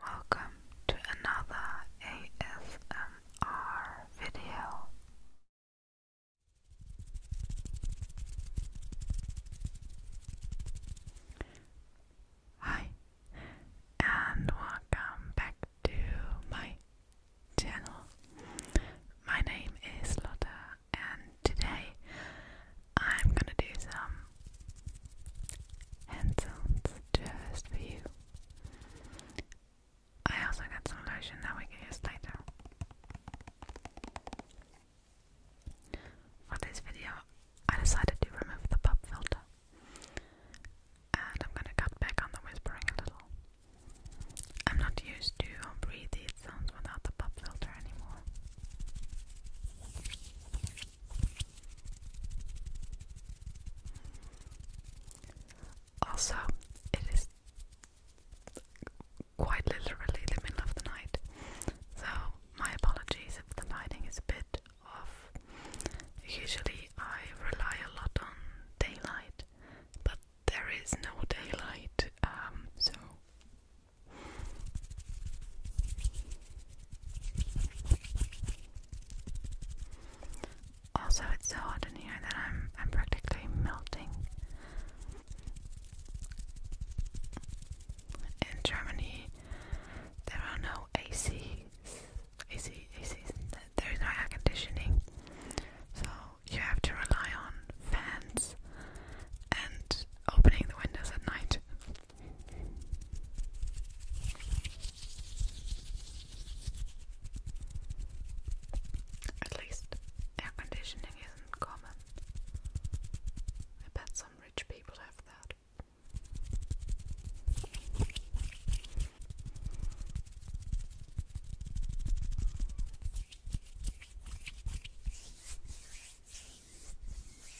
Welcome to another ASMR video. Hi, and welcome back to my channel. My name is Lotta, and today I'm gonna do some hand sounds just for you. I also got some lotion that we can use later. For this video, I decided to remove the pop filter. And I'm gonna cut back on the whispering a little. I'm not used to all these sounds without the pop filter anymore. Also, it is quite literally the middle of the night, so my apologies if the lighting is a bit off. Usually, I rely a lot on daylight, but there is no daylight, um, so. Also, it's so hot in here that I'm I'm practically melting. In Germany, there are no ACs, AC, ACs. There is no air conditioning, so you have to rely on fans and opening the windows at night. At least air conditioning isn't common. I bet some rich people have that.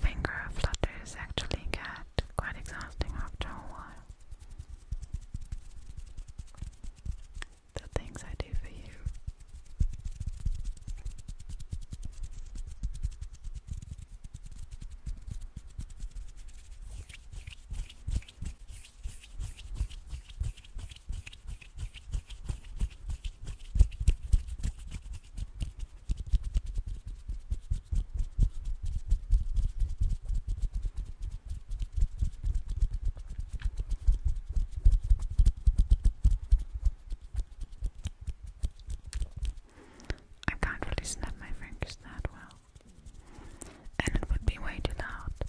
Finger flutters actually get quite exhausting after a while. The things I do for you. I can't really snap my fingers that well and it would be way too loud, but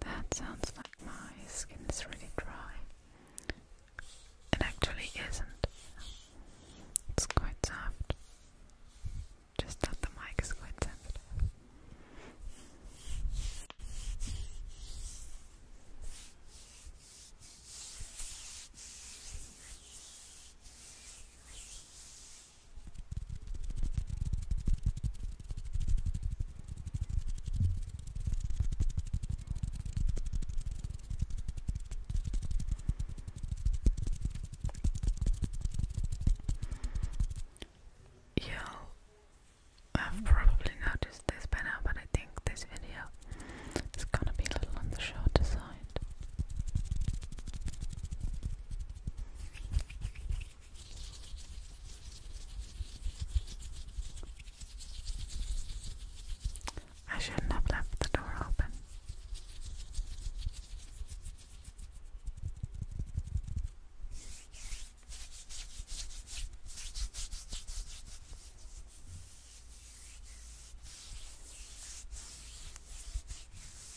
That sounds like my skin is really dry. It actually isn't. It's quite soft. Just that the mic is quite sensitive. You'll have probably noticed this by now, but I think this video is gonna be a little on I shouldn't have left the door open.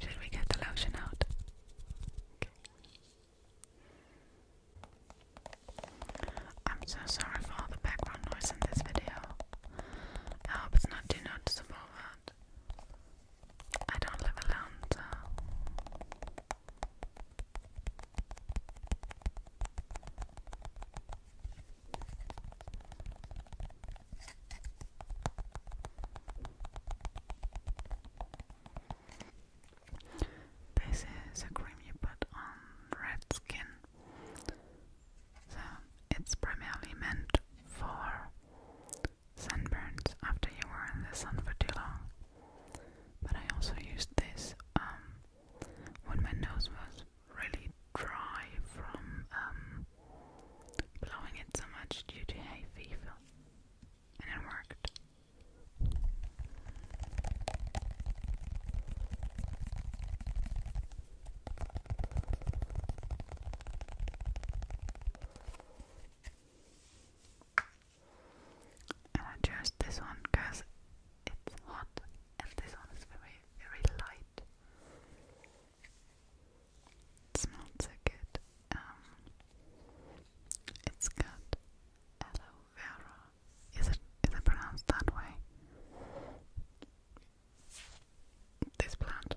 Should we get the lotion out? I'm so sorry for all the background noise in this video. I hope it's not too noticeable, I don't live alone, This is a cream you put on red skin, so it's primarily meant for sunburns after you were in the sun for too long. But I also used this um, when my nose was really dry from um, blowing it so much due to hay fever, and it worked. And I chose this one because it's hot and this one is very, very light. It smells so good. Um, it's got aloe vera. Is it is it pronounced that way? This plant.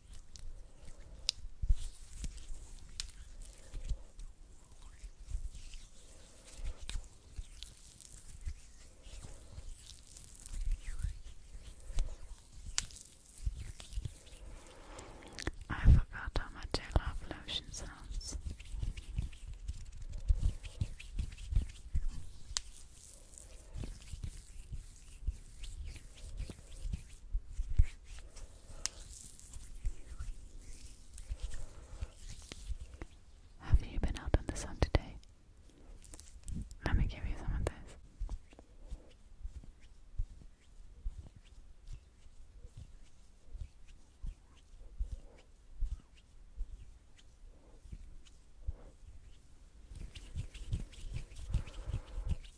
I forgot how much I love lotion sounds. Have you been out in the sun today? Let me give you some of this and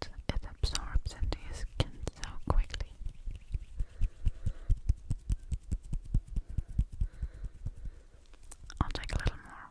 it absorbs into your skin so quickly. I'll take a little more.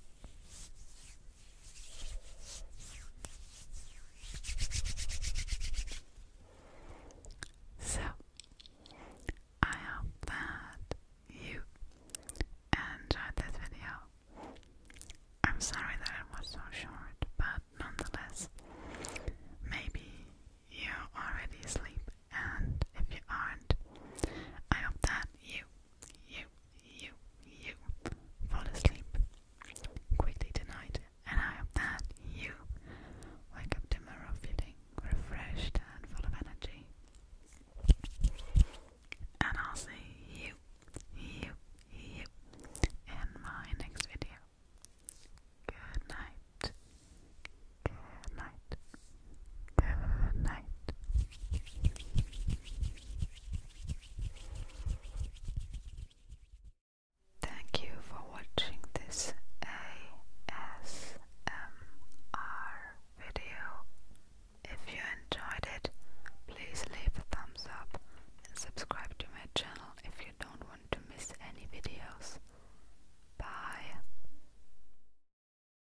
So, I hope that you enjoyed this video. I'm sorry that it was so short, but nonetheless, maybe you already sleep and if you aren't, I hope that you, you, you, you fall asleep quickly tonight, and I hope that you wake up tomorrow feeling refreshed and full of energy. And I'll see you, you, you in my next video. Good night. Good night good night. Thank you for watching this ASMR video. If you enjoyed it, please leave a thumbs up and subscribe to my channel if you don't want to miss any videos. Bye!